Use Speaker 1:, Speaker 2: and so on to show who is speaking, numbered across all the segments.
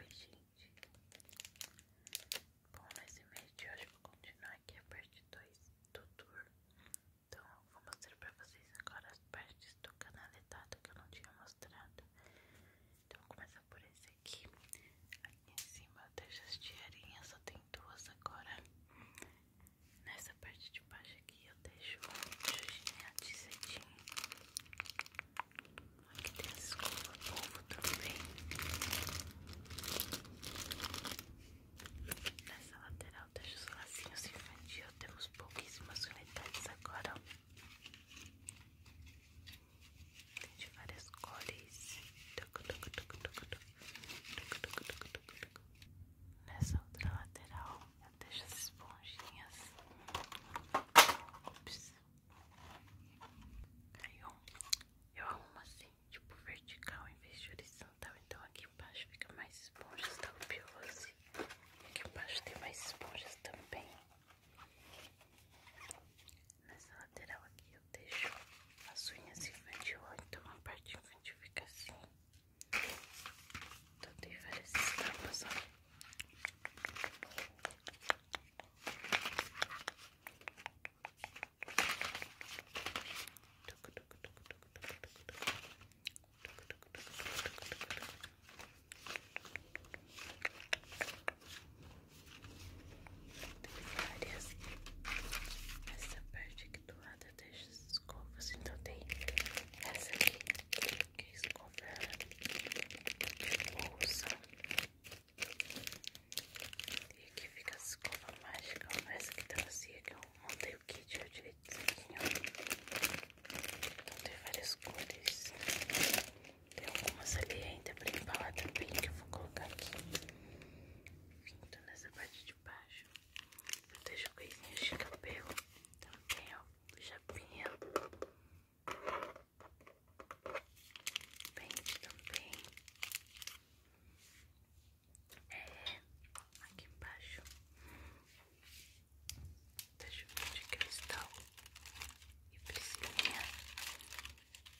Speaker 1: Oi, gente. Bom, nesse mês de hoje eu vou continuar aqui a parte 2 do tour. Então, eu vou mostrar pra vocês agora as partes do canaletado que eu não tinha mostrado. Então, vou começar por esse aqui. Aqui em cima eu deixo as tirinhas, só tem duas agora. Nessa parte de baixo aqui eu deixo um de cetim. Aqui tem escovas escova polvo também. Nessa lateral deixa os lacinhos infantil. Temos pouquíssimas unidades agora. Tem de várias cores. Nessa outra lateral eu deixo as esponjinhas. Ops. Caiu. Eu arrumo assim, tipo vertical em vez de horizontal. Então aqui embaixo fica mais esponja esponjas da assim Aqui embaixo tem mais esponjas também. Nessa lateral aqui eu deixo as unhas infantil, então a parte infantil fica assim. Então tem várias estampas, ó. Várias. Essa parte aqui do lado das escovas, então tem essa aqui. quis comprar bolsa. E aqui fica a escova mágica, essa que trazia que eu montei o kit eu direito aqui, Então tem várias cores. Tem algumas ali ainda pra embalar também que eu vou colocar aqui. Enfim, então nessa parte de baixo eu deixo coisinhas de cabelo. Também, ó, chapinha. Pente também. É, aqui embaixo. Deixa eu ver de cristal e priscilinha. Gente,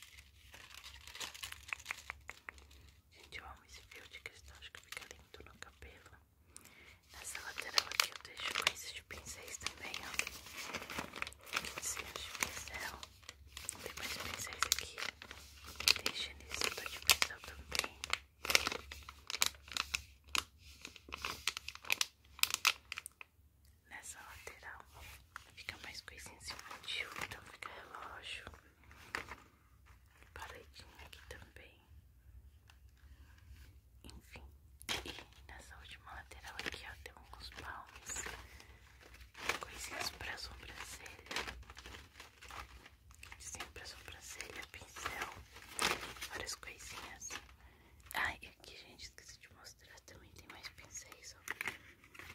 Speaker 1: eu amo esse fio de cristal, acho que fica lindo no cabelo. Nessa lateral aqui eu deixo coisas de pincéis também, ó. Cinhas de é pincel. Tem mais pincéis aqui. Deixa nesse tô de pincel também. Nessa lateral fica mais coisinha infantil, então fica relógio. pareidinho aqui também. Enfim, e nessa última lateral aqui, ó, tem alguns balmes, coisinhas pra sobrancelha, sim, pra sobrancelha, pincel, várias coisinhas. Ah, e aqui, gente, esqueci de mostrar, também tem mais pincéis, ó,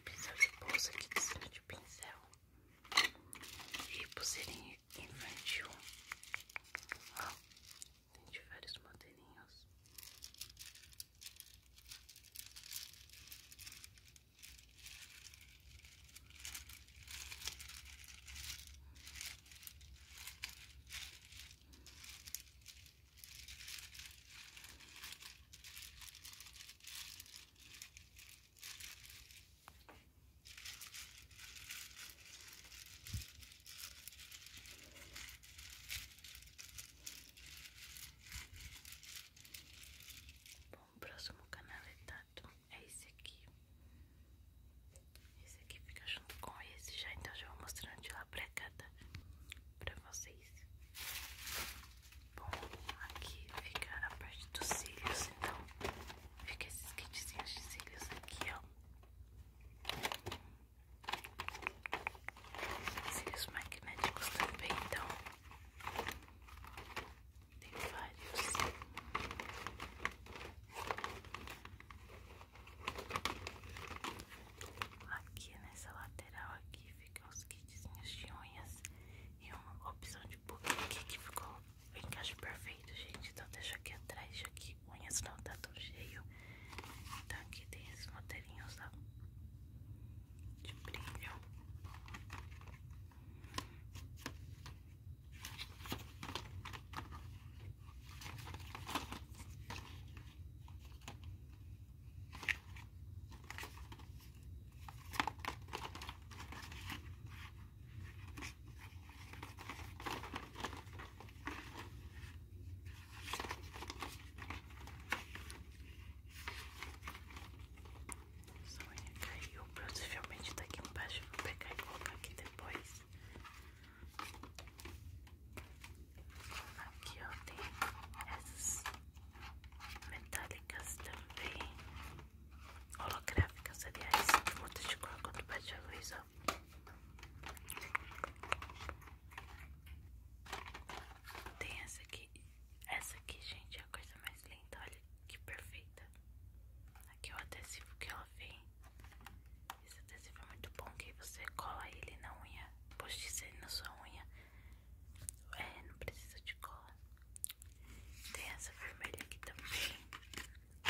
Speaker 1: pincel de bolsa aqui, desenho de pincel, e pulseirinha infantil, ó. Tem de vários modelinhos. Bom, o próximo canaletado é, é esse aqui. Esse aqui fica junto com esse já, então já vou mostrando de lá pra cada tá? pra vocês. Bom, aqui fica a parte dos cílios, então fica esses kitzinhos de cílios aqui, ó. Cílios magnéticos também, então tem vários. Aqui nessa lateral aqui ficam os kitzinhos de unhas e uma opção de book que ficou o encaixe perfeito, gente. Então deixa aqui atrás, deixa aqui unhas não tá tão cheio. Então aqui tem esses modelinhos, ó. De brilho. Sonha caiu, provavelmente tá aqui embaixo. Vou pegar e colocar aqui depois. Aqui ó, tem essas metálicas também. Holográficas, aliás, de muda de cor quando bate a luz, tem essa aqui. Essa aqui, gente, é a coisa mais linda. Olha que perfeita. Aqui é o adesivo que ela vem. Esse adesivo é muito bom que você cola ele na unha. Postiça ele na sua unha. É, não precisa de cola. Tem essa vermelha aqui também.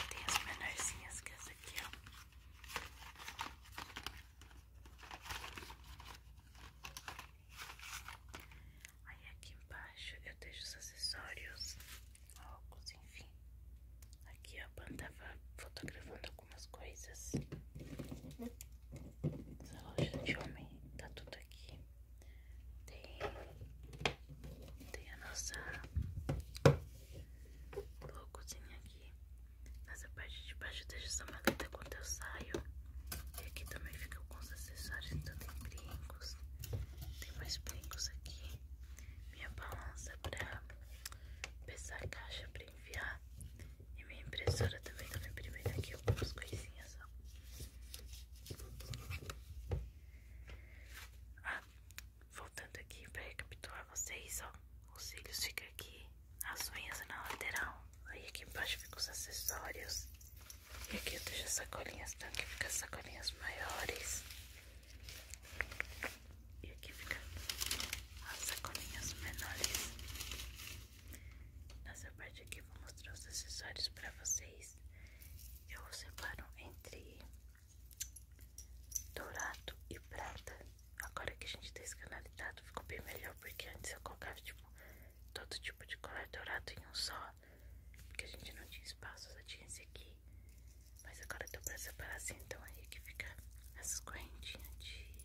Speaker 1: Tem as menorzinhas que essa aqui, ó. Aí aqui embaixo eu deixo os acessórios, óculos, enfim. Aqui a Pan tava fotografando algumas coisas. Essa loja de homem tá tudo aqui. Tem, tem a nossa loucozinha aqui. Nessa parte de baixo deixa sua maleta quando eu saio. E aqui também fica os acessórios, então tem brincos. Tem mais brincos aqui. Minha balança pra pesar a caixa pra enviar. E minha impressora também, também tá eu imprimindo aqui algumas coisinhas ó. Ah, Voltando aqui para recapitular vocês, ó. Os cílios ficam aqui, as unhas na lateral. Aí aqui embaixo ficam os acessórios. E aqui eu deixo as sacolinhas, então aqui ficam as sacolinhas maiores. E aqui ficam as sacolinhas menores. Nessa parte aqui eu vou mostrar os acessórios para vocês. Eu separo entre dourado e prata. Agora que a gente tá escanalizado, ficou bem melhor, porque antes eu colocava, tipo, todo tipo de colar dourado em um só. Porque a gente não tinha espaço, só tinha esse aqui. Mas agora deu pra separar assim, então aí que fica essas correntinhas de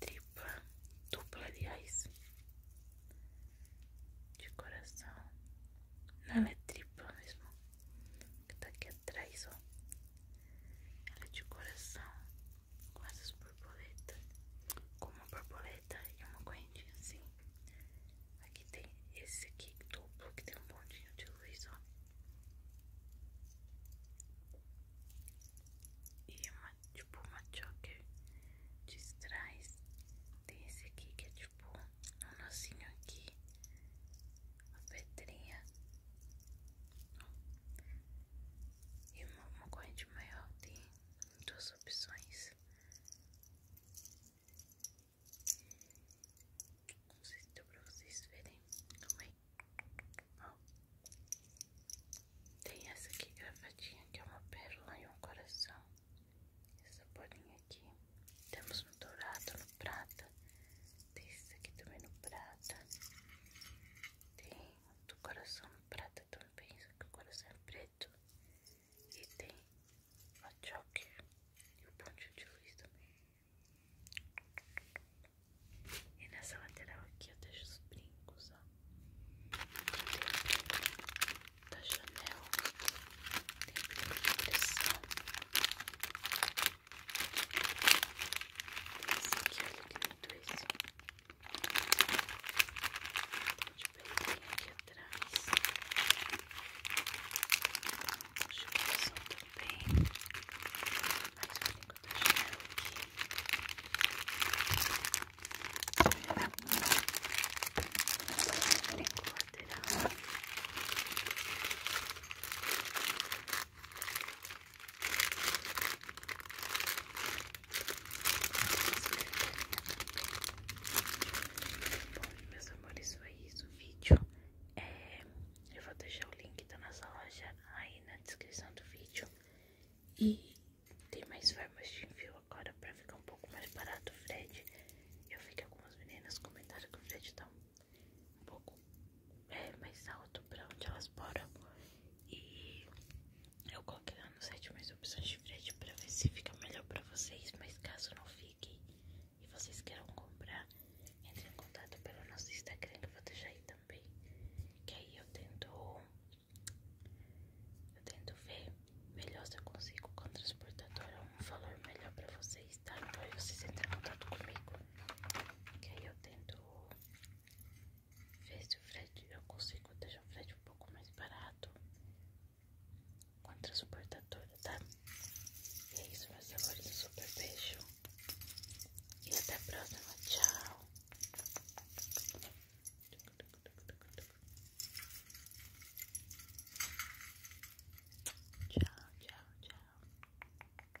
Speaker 1: tripla, dupla, aliás. De coração. Não, ela é tripla mesmo que tá aqui atrás, ó. Ela é de coração, com essas borboletas, com uma borboleta e uma correntinha assim. Aqui tem esse aqui duplo que tem um pontinho de luz, ó. E uma, tipo uma choker de trás. Tem esse aqui que é tipo um nozinho aqui. Uma pedrinha. E uma, uma corrente maior tem duas opções. Não sei se vocês verem. Calma Tem essa aqui gravadinha que é uma pérola e um coração. Essa bolinha aqui. Temos no dourado, no prata tem isso aqui também no prata. Tem do coração no prata também, só que o coração é preto. E tem o choque e o pontinho de luz também. E nessa lateral aqui eu deixo os brincos, ó. Tem da Chanel, tem brinco de pressão, esse que é ligado, esse. De pelinha aqui atrás. Puxa o coração também. Mais um pouco da janela aqui. Tem lateral. Bom, meus amores, foi isso o vídeo. É, eu vou deixar o link da nossa loja aí na descrição do vídeo. E tem mais formas de envio agora para ficar um pouco mais barato o frete. Eu fiquei com as meninas comentaram que o frete tá um um pouco é, mais alto pra onde elas moram. E eu coloquei lá no site mais opções de frete pra ver se fica melhor pra vocês. Mas caso não fique e vocês queiram comprar, entre em contato pelo nosso Instagram que eu vou deixar aí também. Que aí eu tento. Eu tento ver melhor se eu consigo com a transportadora é um valor melhor pra vocês, tá? Então aí vocês entram em contato comigo. Que aí eu tento Veja o frete, eu consigo deixar o frete um pouco mais barato contra a transportadora, tá? E é isso, meus amores. Um super beijo. E até a próxima. Tchau. Tchau, tchau, tchau.